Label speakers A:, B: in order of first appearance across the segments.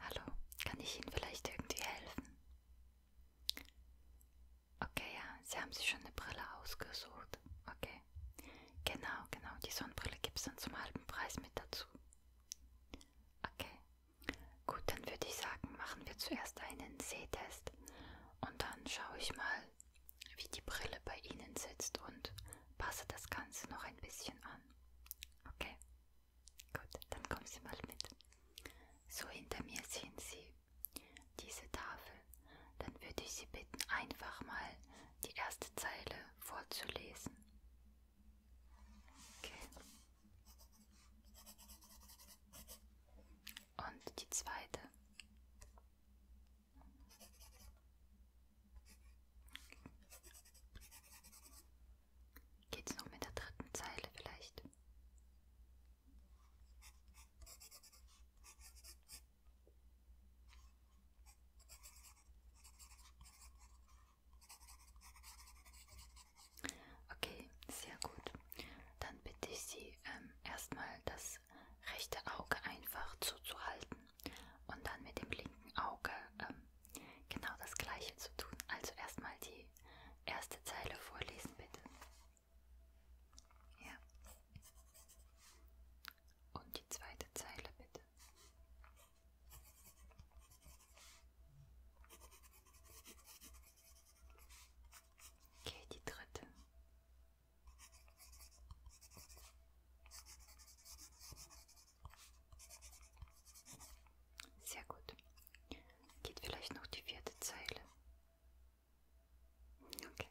A: Hallo, kann ich Ihnen vielleicht irgendwie helfen? Okay, ja, Sie haben sich schon eine Brille ausgesucht. Okay. Genau, genau, die Sonnenbrille gibt es dann zum halben Preis mit dazu. Okay. Gut, dann würde ich sagen, machen wir zuerst einen Sehtest und dann schaue ich mal, wie die Brille bei Ihnen sitzt und passe das Ganze noch ein bisschen an. Okay. Gut, dann kommen Sie mal mit. So hinter mir sehen Sie diese Tafel. Dann würde ich Sie bitten, einfach mal die erste Zeile vorzulesen. Okay. Und die zweite. Geht's noch mit der dritten Zeile vielleicht? Okay, sehr gut. Dann bitte ich Sie ähm, erstmal das rechte Auge einfach zuzuhalten und dann mit dem linken Auge ähm, genau das gleiche zu tun. Also erstmal die erste Zeile vorlesen, bitte. Ja. Und die zweite Zeile, bitte. Okay, die dritte. Sehr gut. Geht vielleicht noch die vierte Zeile. Okay.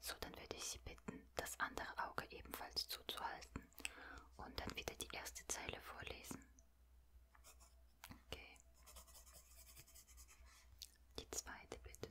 A: So, dann werde ich Sie bitten, das andere Auge ebenfalls zuzuhalten und dann wieder die erste Zeile vorlesen. Okay. Die zweite bitte.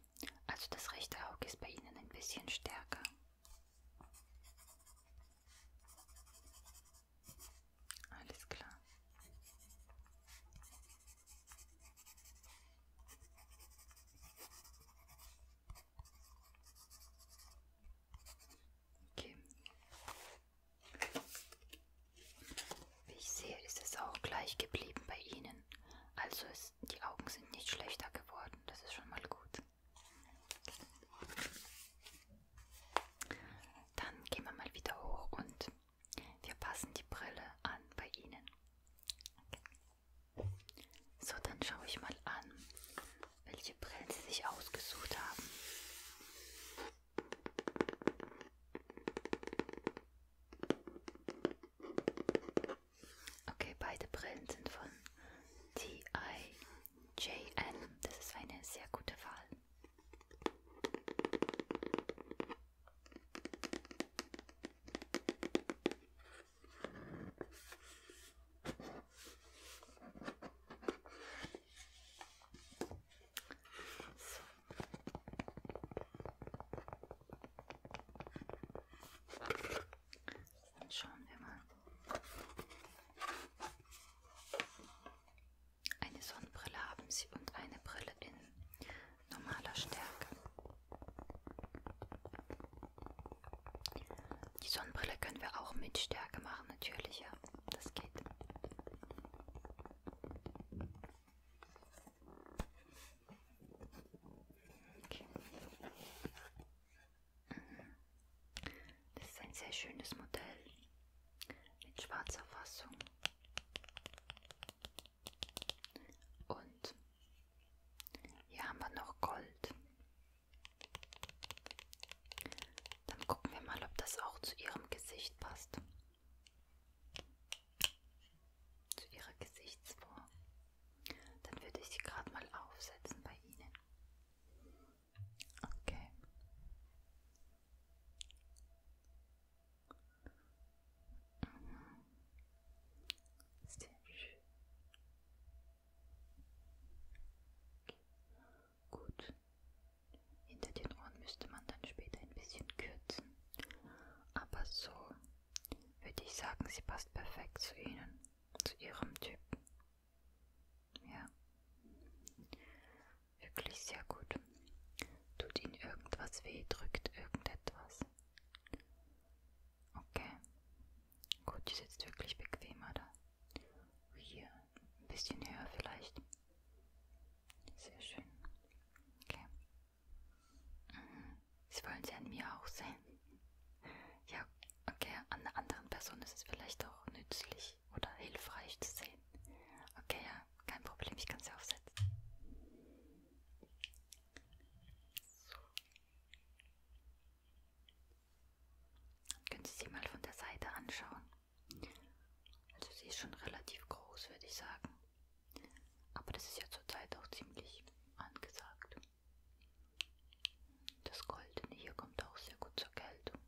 A: gut. Also das rechte Auge ist bei Ihnen ein bisschen stärker. Alles klar. Okay. Wie ich sehe, ist es auch gleich geblieben bei Ihnen. Also es ist, die Augen sind nicht schlechter geworden. Das ist schon mal gut. Dann gehen wir mal wieder hoch und wir passen die Brille an bei Ihnen. So, dann schaue ich mal an, welche Brillen Sie sich ausgesucht haben. Okay, beide Brillen sind von TIJN. Das ist eine sehr gute Wahl. So. Dann schauen wir mal. Eine Sonnenbrille haben sie und eine Brille in normaler Stärke. Die Sonnenbrille können wir auch mit Stärke machen, natürlich, ja. Das geht. Okay. Das ist ein sehr schönes Modell mit schwarzer Fassung und hier haben wir noch Gold. Dann gucken wir mal, ob das auch zu ihrem Gesicht passt zu Ihrer Gesichtsform. Dann würde ich sie gerade mal aufsetzen bei Ihnen. Okay. Mhm. Sehr schön. Gut. Hinter den Ohren müsste man dann später ein bisschen kürzen. Aber so würde ich sagen, sie passt perfekt zu ihnen, zu ihrem Typen. Ja. Wirklich sehr gut. Tut ihnen irgendwas weh, drückt irgendetwas. Okay. Gut, die sitzt wirklich bequemer da. Hier, ein bisschen höher vielleicht. Sehr schön. Okay. Sie wollen sie an mir auch sehen. Ja, okay, an einer anderen Person ist es vielleicht auch nützlich oder hilfreich zu sehen. Okay, ja, kein Problem, ich kann sie aufsetzen. So. Können Sie sie mal von der Seite anschauen? Also sie ist schon relativ groß, würde ich sagen. Aber das ist ja zurzeit auch ziemlich angesagt. Das Goldene hier kommt auch sehr gut zur Geltung.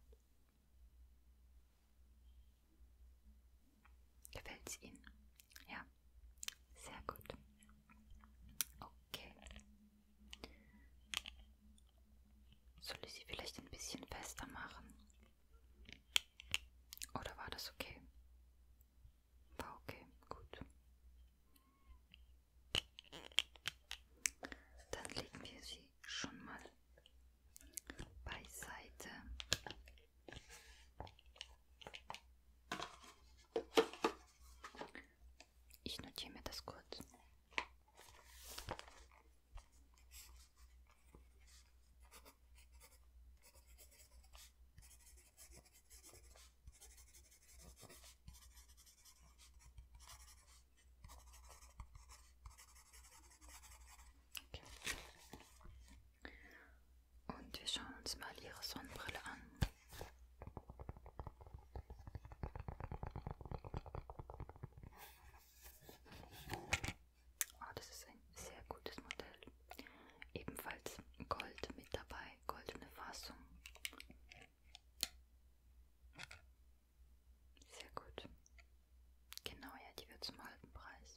A: Gefällt es Ihnen? Ja, sehr gut. Okay. Soll ich sie vielleicht ein bisschen fester machen? Oder war das okay? Okay, gut. Dann legen wir sie schon mal beiseite. Ich notiere mir das kurz. Okay. Und wir schauen uns mal ihre Sonnenbrille an. Oh, das ist ein sehr gutes Modell. Ebenfalls Gold mit dabei goldene Fassung. Sehr gut. Genau, ja, die wird zum halben Preis.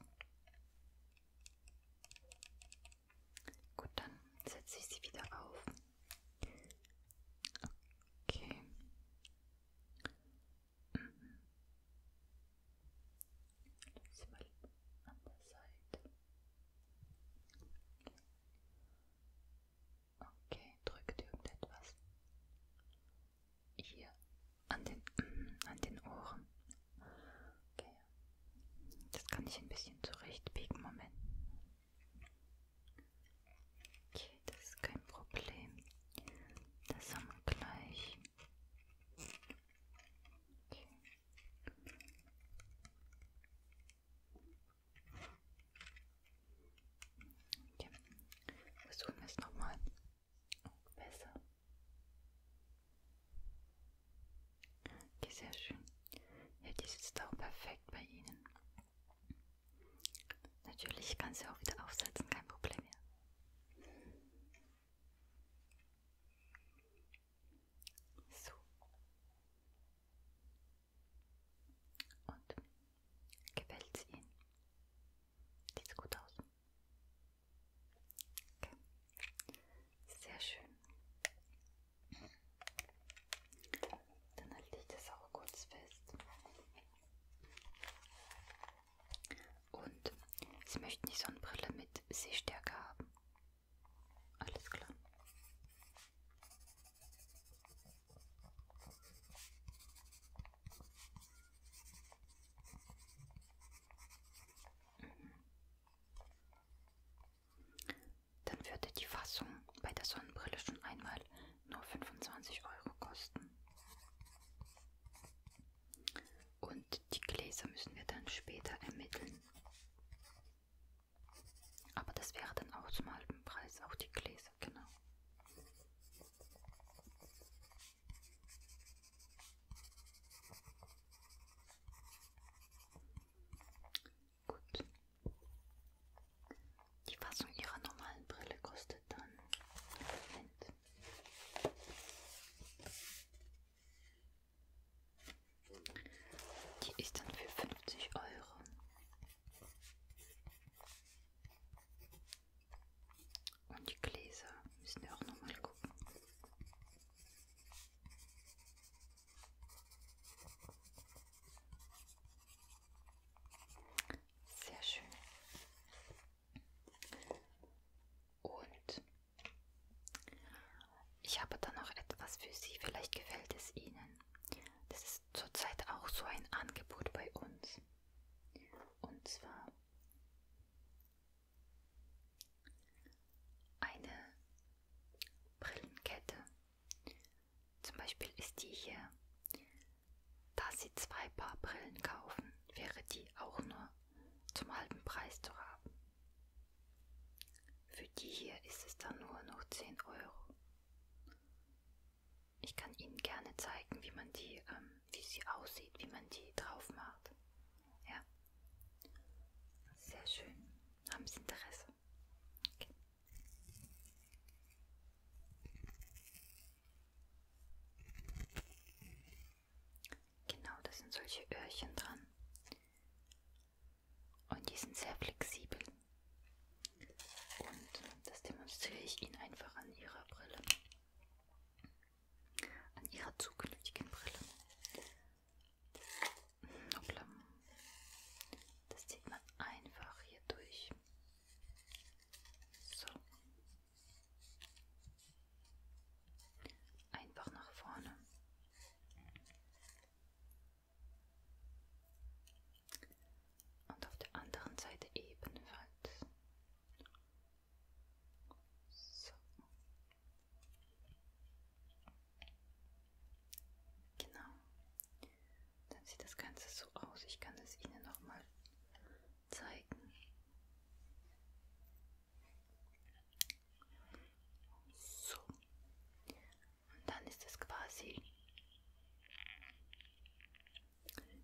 A: Gut, dann setze ich sie wieder auf. Okay. Mhm diesmal an der Seite. Okay, drückt irgendetwas hier an den, mm, an den Ohren. Okay, das kann ich ein bisschen zurechtbiegen. Moment. Okay, das ist kein Problem. Das haben wir gleich. Okay. Versuchen wir es nochmal. Oh, besser. Okay, sehr schön. Ja, die sitzt auch perfekt bei Ihnen. Natürlich kann sie auch wieder aufsetzen, kein Problem mehr. So. Und gefällt's Ihnen? Sieht's gut aus? Okay. Sehr schön. Dann halte ich das auch kurz fest. Und Sie möchten die Sonnenbrille mit Sehstärke haben. Alles klar. Mhm. Dann würde die Fassung bei der Sonnenbrille schon einmal nur 25 Euro kosten. Und die Gläser müssen wir dann später ermitteln. Aber das wäre dann auch zum halben Preis, auch die Gläser, genau. Gut. Die Fassung ihrer normalen Brille kostet dann. Moment. Die ist dann für 50 Euro. Und die Gläser müssen wir auch nochmal gucken. Sehr schön. Und ich habe da noch etwas für Sie, vielleicht gefällt es Ihnen. Das ist zurzeit auch so ein Angebot bei uns. Und zwar eine Brillenkette. Zum Beispiel ist die hier. Da Sie zwei Paar Brillen kaufen, wäre die auch nur zum halben Preis zu haben. Für die hier ist es dann nur noch 10 Euro. Ich kann Ihnen gerne zeigen, wie man die, ähm, wie sie aussieht, wie man die drauf macht. Ja. Sehr schön. Haben Sie Interesse? Okay. Genau, da sind solche Öhrchen dran. Und die sind sehr flexibel. Und das demonstriere ich Ihnen einfach an Ihrer Brille. An Ihrer zukünftigen Brille. Hoppla. Das zieht man einfach hier durch. So. Einfach nach vorne. Und auf der anderen Seite ebenfalls. So. Genau. Dann sieht das Ganze so aus. Ich kann es Ihnen nochmal zeigen. So. Und dann ist es quasi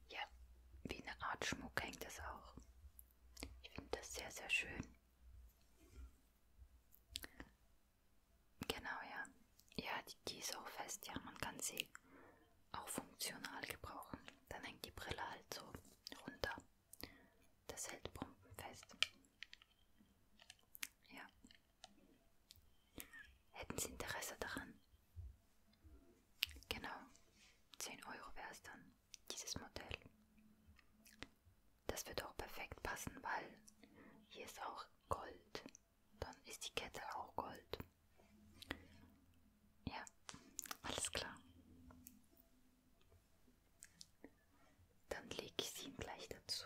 A: ja, wie eine Art Schmuck hängt das auch. Ich finde das sehr, sehr schön. Genau, ja. Ja, die, die ist auch fest, ja, man kann sie auch funktional gebrauchen. Dann hängt die Brille halt so runter. Das hält pumpenfest. Ja. Hätten Sie Interesse daran? Genau. 10 Euro wäre es dann, dieses Modell. Das wird auch perfekt passen, weil hier ist auch Gold. Dann ist die Kette auch Gold. Ja, alles klar. Dann lege ich sie ihm gleich dazu.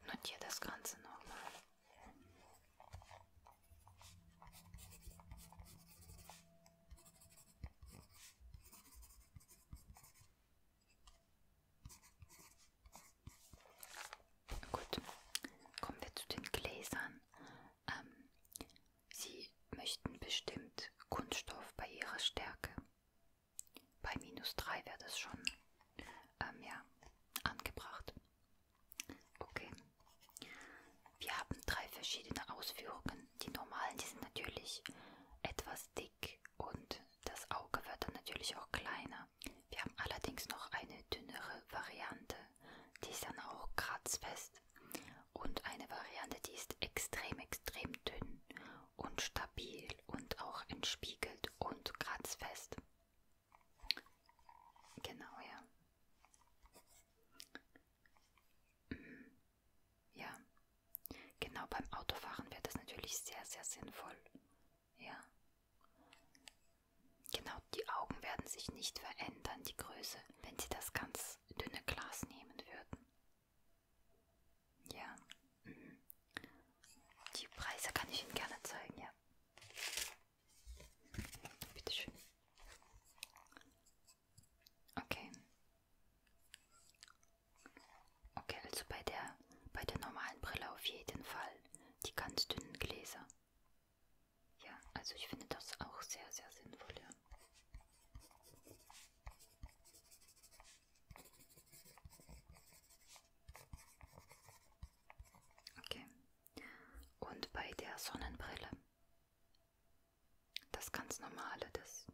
A: Und notiere das Ganze nochmal. Gut, kommen wir zu den Gläsern. Ähm, Sie möchten bestimmt Kunststoff bei Ihrer Stärke. Bei minus 3 wäre das schon ähm, ja, angebracht. Okay. Wir haben drei verschiedene Ausführungen. Die normalen, die sind natürlich etwas dick und das Auge wird dann natürlich auch kleiner. Wir haben allerdings noch eine dünnere Variante, die ist dann auch kratzfest und eine Variante, die ist extrem, extrem dünn und stabil und auch entspiegelt und kratzfest. Genau, ja. Mhm. Ja. Genau beim Autofahren wäre das natürlich sehr, sehr sinnvoll. Ja. Genau, die Augen werden sich nicht verändern, die Größe, wenn Sie das ganz dünne Glas nehmen würden. Ja. Mhm. Die Preise kann ich Ihnen gerne zeigen, ja. Bitteschön. Okay. Okay, also bei der, bei der normalen Brille auf jeden Fall. Die ganz dünnen Gläser. Ja, also ich finde das auch sehr, sehr sinnvoll. Ja. Okay. Und bei der Sonnenbrille. Das ganz normale, das.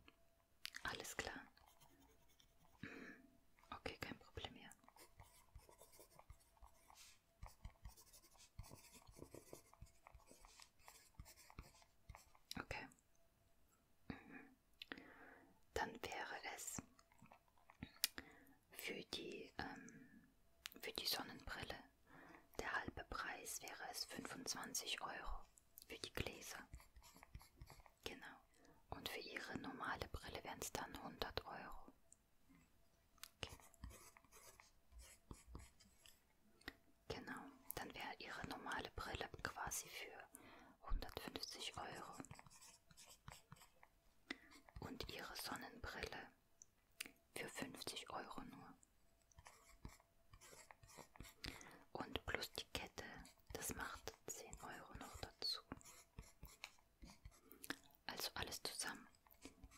A: Alles klar. Mhm. Okay, kein Problem mehr. Okay. Mhm. Dann wäre es für die ähm, für die Sonnenbrille der halbe Preis wäre es 25 Euro für die Gläser. Genau. Und für ihre normale Brille wären es dann 100 Euro. Okay. Genau. genau. Dann wäre ihre normale Brille quasi für 150 Euro. Und ihre Sonnenbrille für 50 Euro nur. Und plus die Kette, das macht 10 Euro noch dazu. Also alles zusammen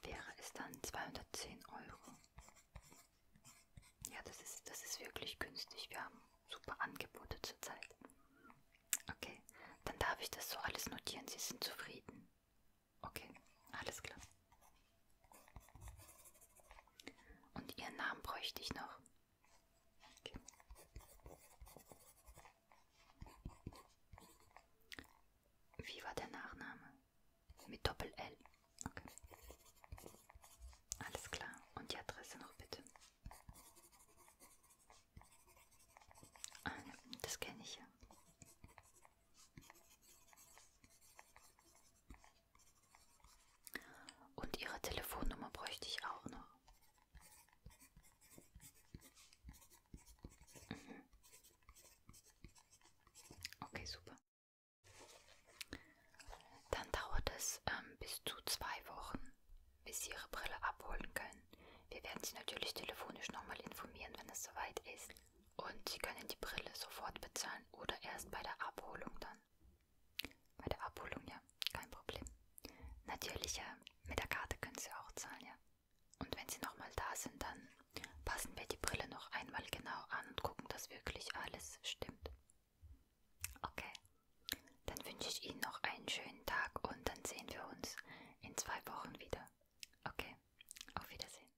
A: wäre es dann 210 Euro. Ja, das ist, das ist wirklich günstig. Wir haben super Angebote zurzeit. Okay, dann darf ich das so alles notieren. Sie sind zufrieden. Okay, alles klar. Und Ihren Namen bräuchte ich noch. Okay. Wie war der Nachname? Mit Doppel-L. Okay. Alles klar. Und die Adresse noch bitte. Ah, ne, das kenne ich ja. Und ihre Telefonnummer bräuchte ich auch noch. Mhm. Okay, super. Dann dauert es ähm, bis zu zwei Wochen, bis Sie Ihre Brille abholen können. Wir werden Sie natürlich telefonisch nochmal informieren, wenn es soweit ist. Und Sie können die Brille sofort bezahlen oder erst bei der Abholung dann. Bei der Abholung, ja, kein Problem. Natürlich, ja, mit der Karte können Sie auch zahlen, ja. Und wenn Sie nochmal da sind, dann passen wir die Brille noch einmal genau an und gucken, dass wirklich alles stimmt. Okay, dann wünsche ich Ihnen noch einen schönen Tag und dann sehen wir uns in zwei Wochen wieder. Okay, auf Wiedersehen.